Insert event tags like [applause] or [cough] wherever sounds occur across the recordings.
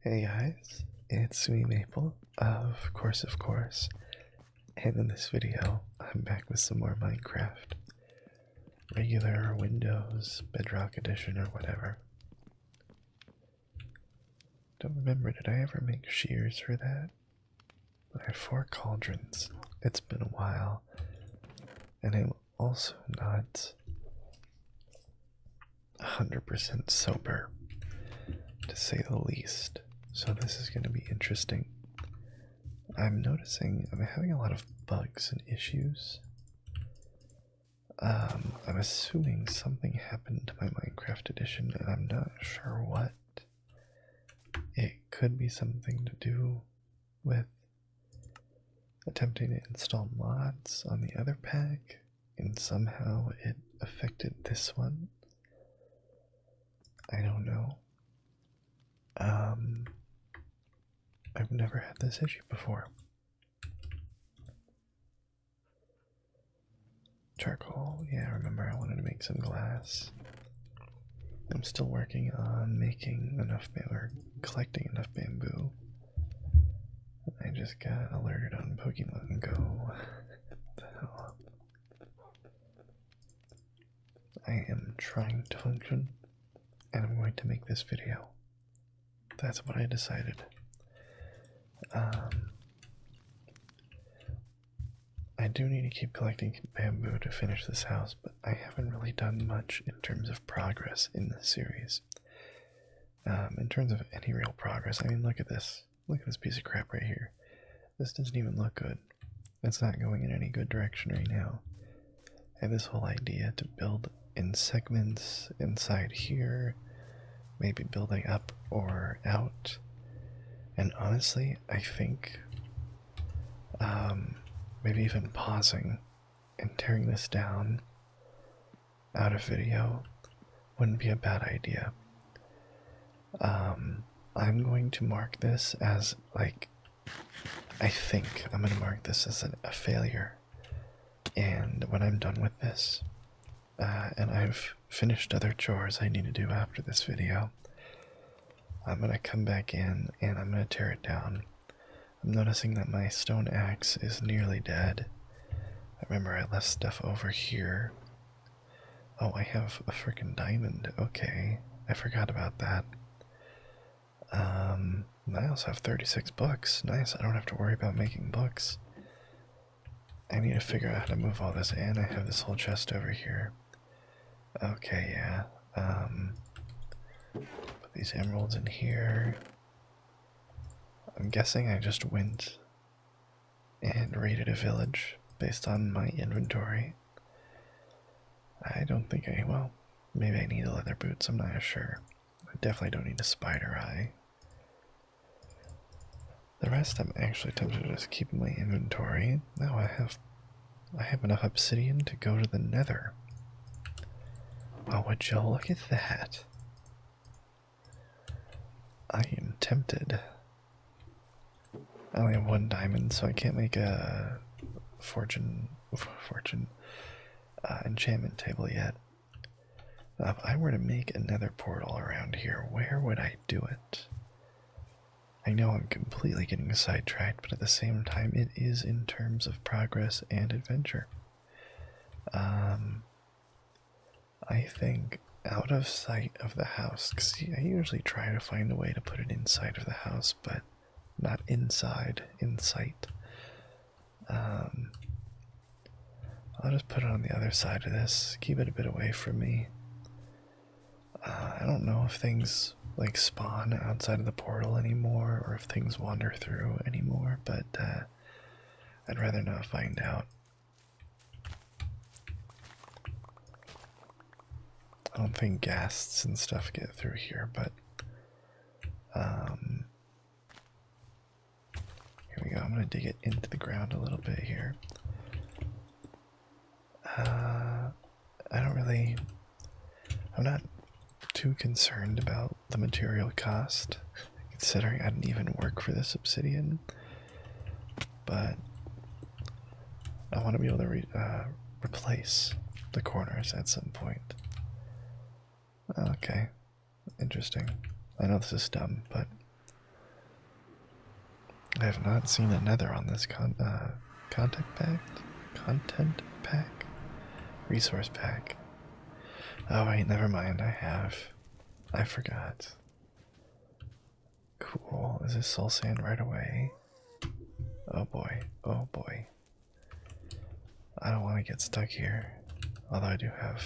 Hey guys, it's me Maple of Course of Course, and in this video I'm back with some more Minecraft. Regular Windows, Bedrock Edition, or whatever. Don't remember, did I ever make shears for that? I have four cauldrons. It's been a while. And I also not 100% sober, to say the least. So, this is going to be interesting. I'm noticing I'm having a lot of bugs and issues. Um, I'm assuming something happened to my Minecraft edition, and I'm not sure what. It could be something to do with attempting to install mods on the other pack, and somehow it affected this one. I don't know. Um, I've never had this issue before. Charcoal, yeah, remember I wanted to make some glass. I'm still working on making enough, bamboo. collecting enough bamboo I just got alerted on Pokemon Go. the hell? I am trying to function and I'm going to make this video. That's what I decided. Um, I do need to keep collecting bamboo to finish this house, but I haven't really done much in terms of progress in this series. Um, in terms of any real progress, I mean, look at this. Look at this piece of crap right here. This doesn't even look good. It's not going in any good direction right now. I have this whole idea to build in segments inside here, maybe building up or out. And honestly, I think um, maybe even pausing and tearing this down out of video wouldn't be a bad idea. Um, I'm going to mark this as like I think I'm going to mark this as a failure. And when I'm done with this, uh, and I've finished other chores I need to do after this video, I'm going to come back in and I'm going to tear it down I'm noticing that my stone axe is nearly dead. I remember I left stuff over here. Oh, I have a freaking diamond. Okay, I forgot about that. Um, I also have 36 books. Nice, I don't have to worry about making books. I need to figure out how to move all this And I have this whole chest over here. Okay, yeah. Um, put these emeralds in here. I'm guessing I just went and raided a village based on my inventory. I don't think I, well, maybe I need the leather boots, I'm not sure. I definitely don't need a spider eye. The rest I'm actually tempted to just keep in my inventory. Now I have I have enough obsidian to go to the nether. Oh would you look at that? I am tempted. I only have one diamond, so I can't make a fortune [laughs] fortune uh, enchantment table yet. Uh, if I were to make another portal around here, where would I do it? I know I'm completely getting sidetracked, but at the same time, it is in terms of progress and adventure. Um, I think out of sight of the house, because I usually try to find a way to put it inside of the house, but not inside, in sight. Um, I'll just put it on the other side of this, keep it a bit away from me. Uh, I don't know if things like spawn outside of the portal anymore or if things wander through anymore but uh, I'd rather not find out. I don't think ghasts and stuff get through here, but um, here we go. I'm gonna dig it into the ground a little bit here. Uh, I don't really I'm not too concerned about the material cost, considering I didn't even work for this obsidian. But I want to be able to uh, replace the corners at some point. Okay, interesting. I know this is dumb, but I have not seen a nether on this con uh, pack, content pack, resource pack. Oh wait, never mind. I have. I forgot. Cool. Is this soul sand right away? Oh boy. Oh boy. I don't want to get stuck here. Although I do have.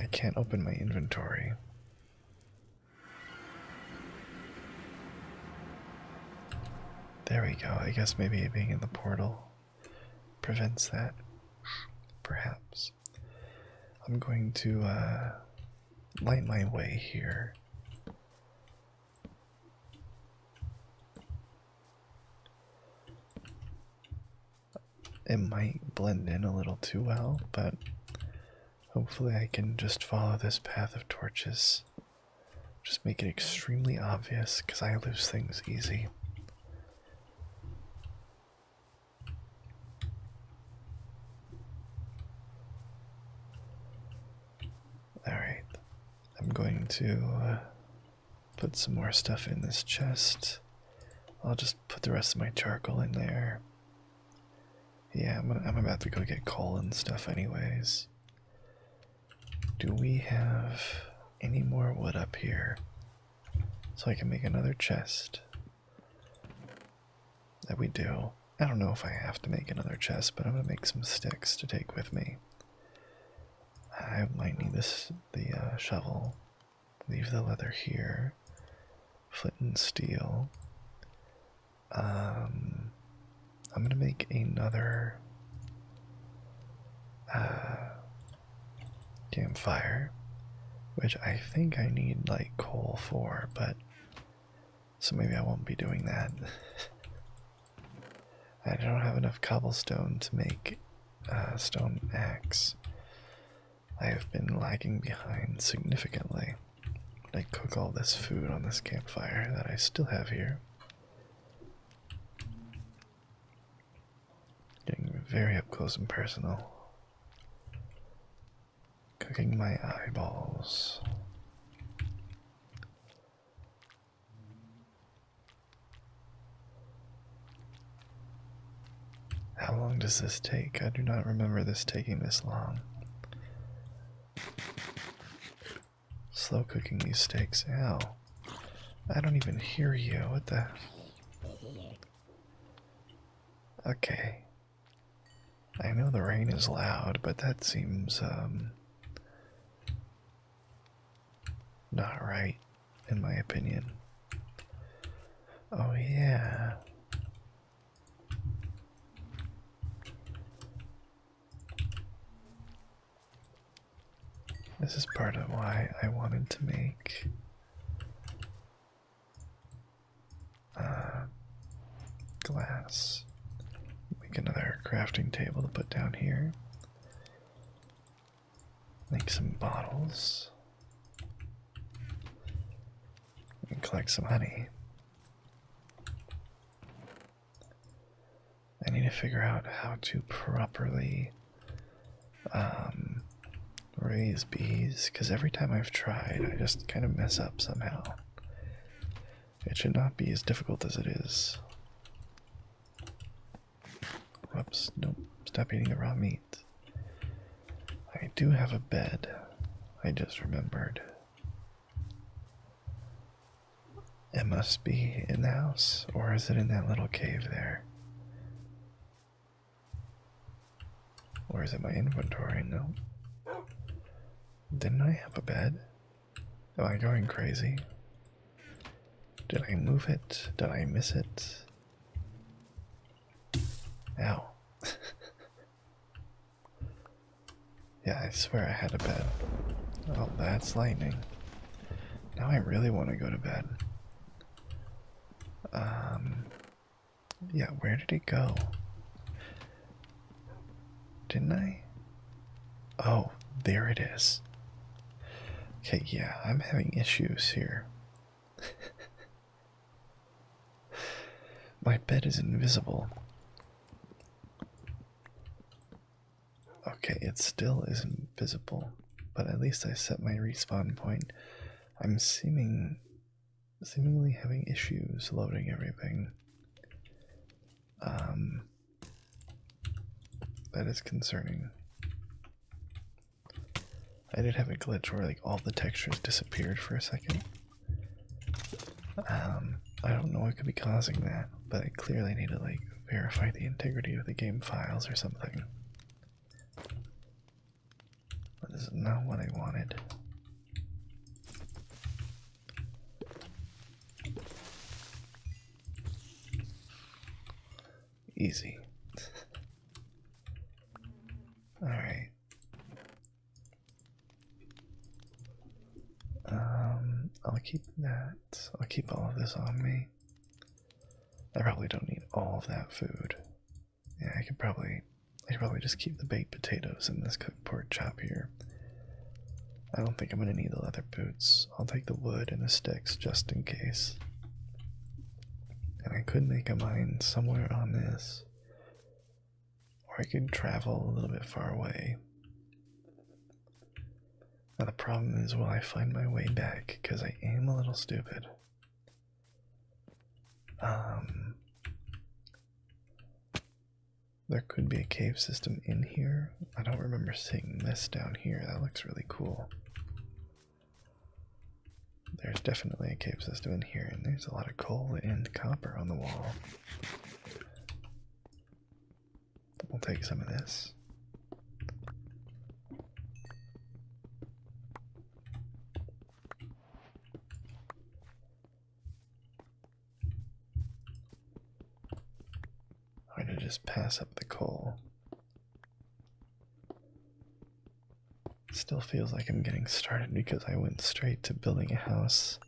I can't open my inventory. There we go. I guess maybe being in the portal prevents that. Perhaps. I'm going to uh, light my way here. It might blend in a little too well, but hopefully I can just follow this path of torches just make it extremely obvious because I lose things easy. Alright, I'm going to uh, put some more stuff in this chest. I'll just put the rest of my charcoal in there. Yeah, I'm about to go get coal and stuff, anyways. Do we have any more wood up here? So I can make another chest. That we do. I don't know if I have to make another chest, but I'm gonna make some sticks to take with me. I might need this the uh, shovel. Leave the leather here. Flint and steel. Um I'm gonna make another uh, campfire, which I think I need like coal for, but so maybe I won't be doing that. [laughs] I don't have enough cobblestone to make a uh, stone axe. I have been lagging behind significantly. I cook all this food on this campfire that I still have here. Getting very up close and personal. Cooking my eyeballs. How long does this take? I do not remember this taking this long. Slow cooking these steaks. Ow. I don't even hear you. What the? Okay. I know the rain is loud, but that seems, um. Not right, in my opinion. Oh, yeah. This is part of why I wanted to make uh, glass. Make another crafting table to put down here. Make some bottles. And collect some honey. I need to figure out how to properly um, raise bees because every time I've tried, I just kind of mess up somehow. It should not be as difficult as it is. Oops! nope, stop eating the raw meat. I do have a bed, I just remembered. It must be in the house, or is it in that little cave there? Or is it my inventory? No. Didn't I have a bed? Am I going crazy? Did I move it? Did I miss it? Ow. [laughs] Yeah, I swear I had a bed. Oh, that's lightning. Now I really want to go to bed. Um, yeah, where did it go? Didn't I? Oh, there it is. Okay, yeah, I'm having issues here. [laughs] My bed is invisible. Okay, it still isn't visible, but at least I set my respawn point. I'm seeming seemingly having issues loading everything. Um that is concerning. I did have a glitch where like all the textures disappeared for a second. Um, I don't know what could be causing that, but I clearly need to like verify the integrity of the game files or something. But this is not what I wanted. Easy. [laughs] All right. Um, I'll keep that. I'll keep all of this on me. I probably don't need all of that food. Yeah, I could probably, I could probably just keep the baked potatoes and this cooked pork chop here. I don't think I'm gonna need the leather boots. I'll take the wood and the sticks just in case. And I could make a mine somewhere on this, or I could travel a little bit far away. Now the problem is, will I find my way back? Because I am a little stupid. Um, there could be a cave system in here. I don't remember seeing this down here. That looks really cool. There's definitely a cave system in here, and there's a lot of coal and copper on the wall. We'll take some of this. I'm going to just pass up the coal. Still feels like I'm getting started because I went straight to building a house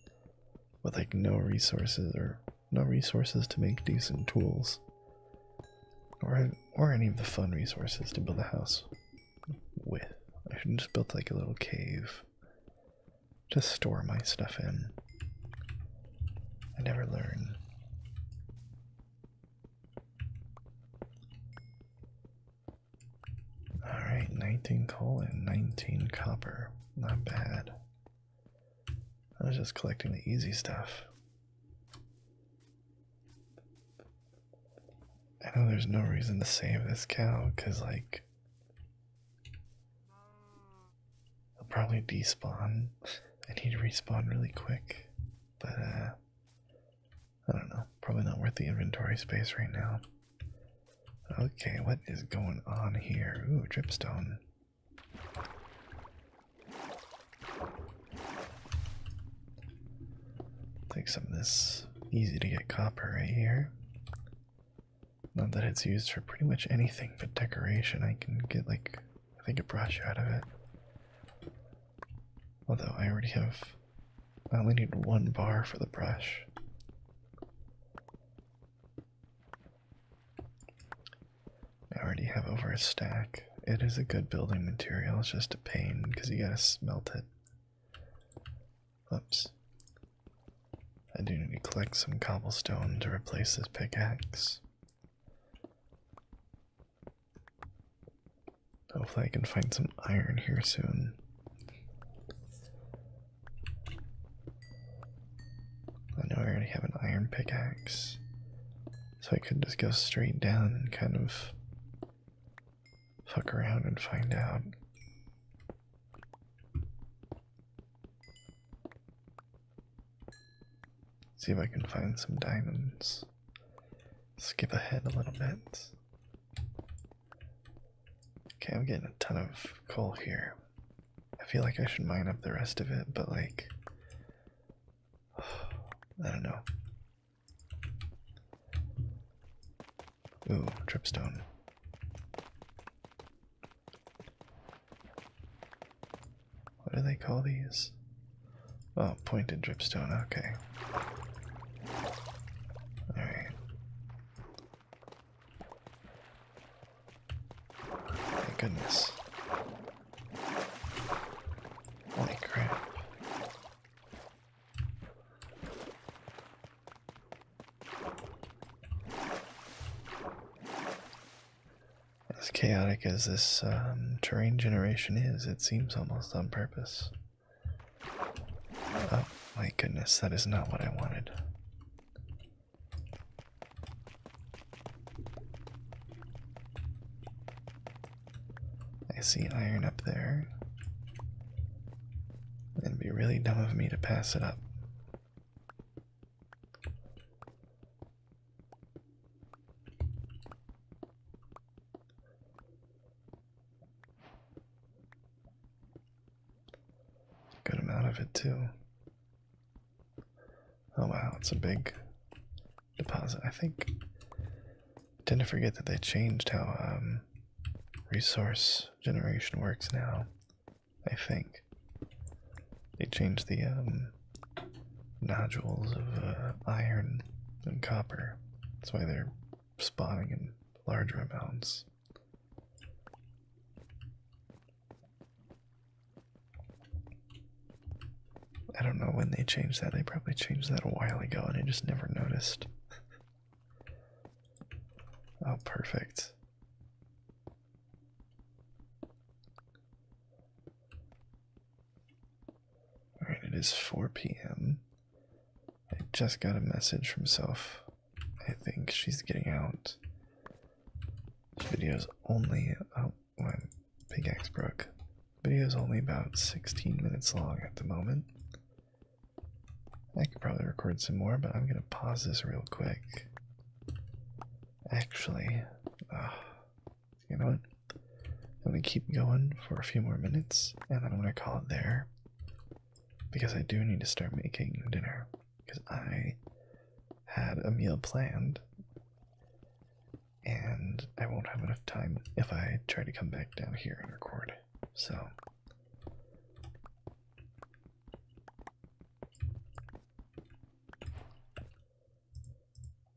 with like no resources or no resources to make decent tools or or any of the fun resources to build a house with. I just built like a little cave to store my stuff in. I never learn. All right, 19 coal and 19 copper. Not bad. I was just collecting the easy stuff. I know there's no reason to save this cow because, like, I'll probably despawn. I need to respawn really quick, but uh, I don't know. Probably not worth the inventory space right now. Okay, what is going on here? Ooh, dripstone. Take some of this easy to get copper right here. Not that it's used for pretty much anything but decoration. I can get like, I think a brush out of it. Although I already have, I only need one bar for the brush. I already have over a stack. It is a good building material, it's just a pain because you gotta smelt it. Oops. I do need to collect some cobblestone to replace this pickaxe. Hopefully, I can find some iron here soon. I know I already have an iron pickaxe, so I could just go straight down and kind of fuck around and find out. See if I can find some diamonds. Skip ahead a little bit. Okay, I'm getting a ton of coal here. I feel like I should mine up the rest of it, but like, [sighs] I don't know. Ooh, dripstone. What do they call these? Oh, pointed dripstone, okay. Alright. My goodness. Holy crap. As chaotic as this um, terrain generation is, it seems almost on purpose. Oh my goodness, that is not what I wanted. I see iron up there. It'd be really dumb of me to pass it up. Good amount of it too. Oh wow, it's a big deposit. I think I tend to forget that they changed how um, resource generation works now. I think they changed the um, nodules of uh, iron and copper. That's why they're spawning in larger amounts. I don't know when they changed that. They probably changed that a while ago and I just never noticed. oh, perfect. Alright, it is 4 p.m. I just got a message from self. I think she's getting out videos only oh when Big Axe Brook. Video's only about 16 minutes long at the moment. I could probably record some more, but I'm gonna pause this real quick. Actually, uh, you know what? I'm gonna keep going for a few more minutes and then I'm gonna call it there because I do need to start making dinner because I had a meal planned and I won't have enough time if I try to come back down here and record. So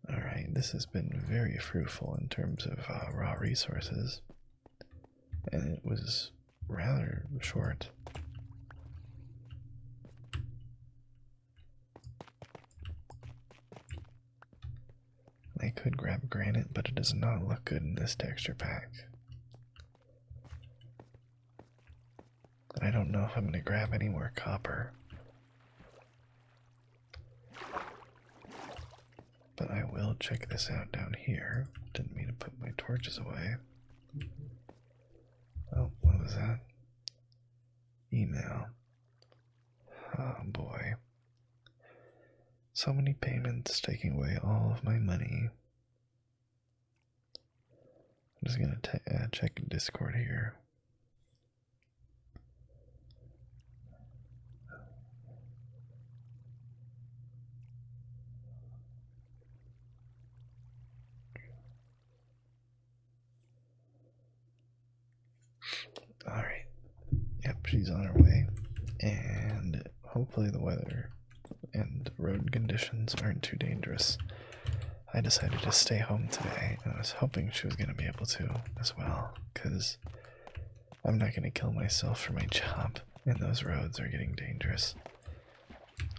all right, this has been very fruitful in terms of uh, raw resources, and it was rather short. I could grab granite, but it does not look good in this texture pack. I don't know if I'm going to grab any more copper. But I will check this out down here. Didn't mean to put my torches away. Oh, what was that? Email. Oh boy. So many payments taking away all of my money. I'm just gonna uh, check Discord here. All right. Yep, she's on her way. And hopefully the weather and road conditions aren't too dangerous. I decided to stay home today. I was hoping she was going to be able to as well cuz I'm not going to kill myself for my job and those roads are getting dangerous.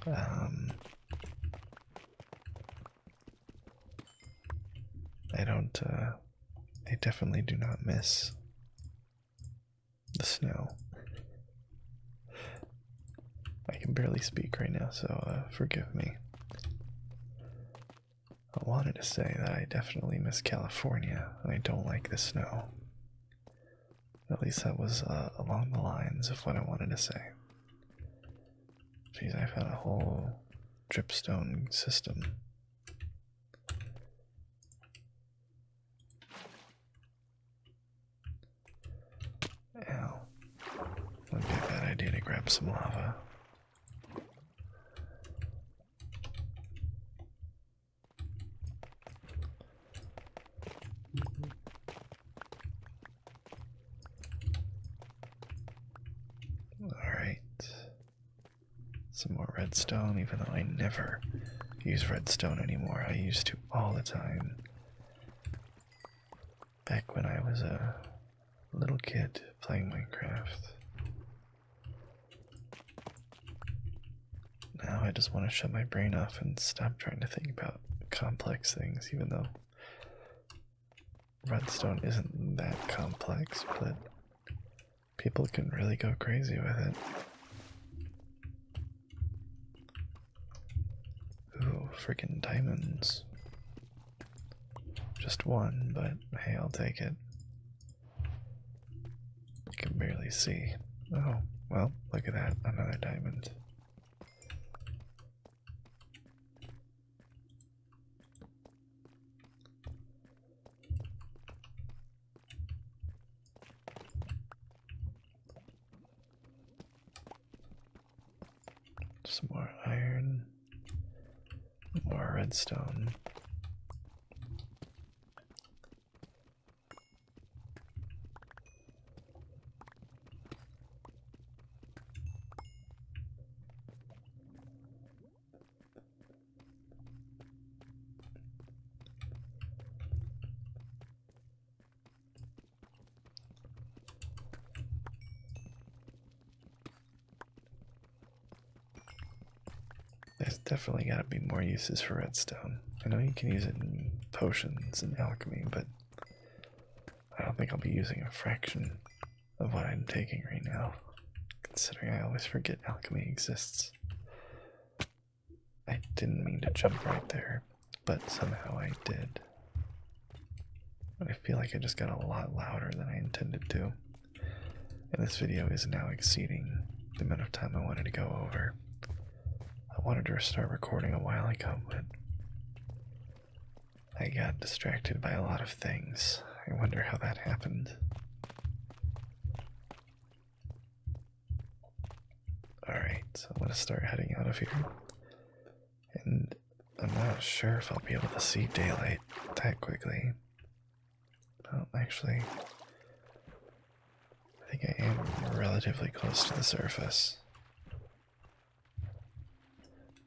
Um, I don't, uh, definitely do not miss the snow. I can barely speak right now, so uh, forgive me. I wanted to say that I definitely miss California, and I don't like the snow. At least that was uh, along the lines of what I wanted to say. Geez, i found a whole dripstone system. Ow. Would be a bad idea to grab some lava. Alright. Some more redstone, even though I never use redstone anymore. I used to all the time. Back when I was a little kid playing Minecraft. Now I just want to shut my brain off and stop trying to think about complex things, even though redstone isn't that complex, but people can really go crazy with it. Ooh, freaking diamonds. Just one, but hey, I'll take it. You can barely see. Oh, well, look at that. Another diamond. Just more iron, more redstone. There's definitely got to be more uses for redstone. I know you can use it in potions and alchemy, but I don't think I'll be using a fraction of what I'm taking right now, considering I always forget alchemy exists. I didn't mean to jump right there, but somehow I did. I feel like I just got a lot louder than I intended to, and this video is now exceeding the amount of time I wanted to go over. I wanted to start recording a while ago, but I got distracted by a lot of things. I wonder how that happened. Alright, so I'm gonna start heading out of here. And I'm not sure if I'll be able to see daylight that quickly. Well, actually, I think I am relatively close to the surface.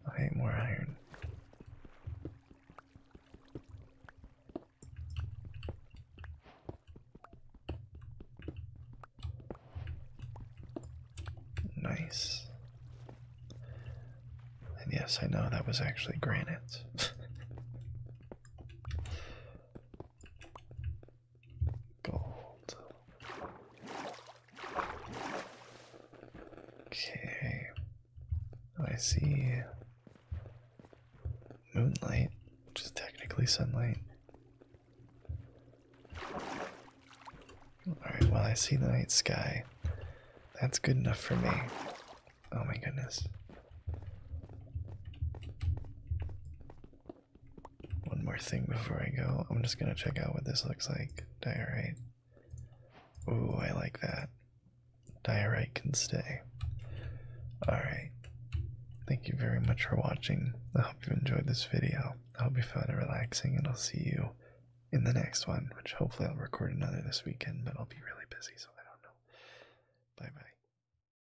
I Okay, more iron. Nice. And yes, I know that was actually granite. [laughs] Gold. Okay. Oh, I see moonlight, which is technically sunlight. Alright, well, I see the night sky. That's good enough for me. Oh my goodness. One more thing before I go. I'm just gonna check out what this looks like. Diorite. Ooh, I like that. Diorite can stay. Alright. Thank you very much for watching. I hope you enjoyed this video. I hope you found it relaxing, and I'll see you in the next one, which hopefully I'll record another this weekend, but I'll be really busy, so I don't know. Bye bye.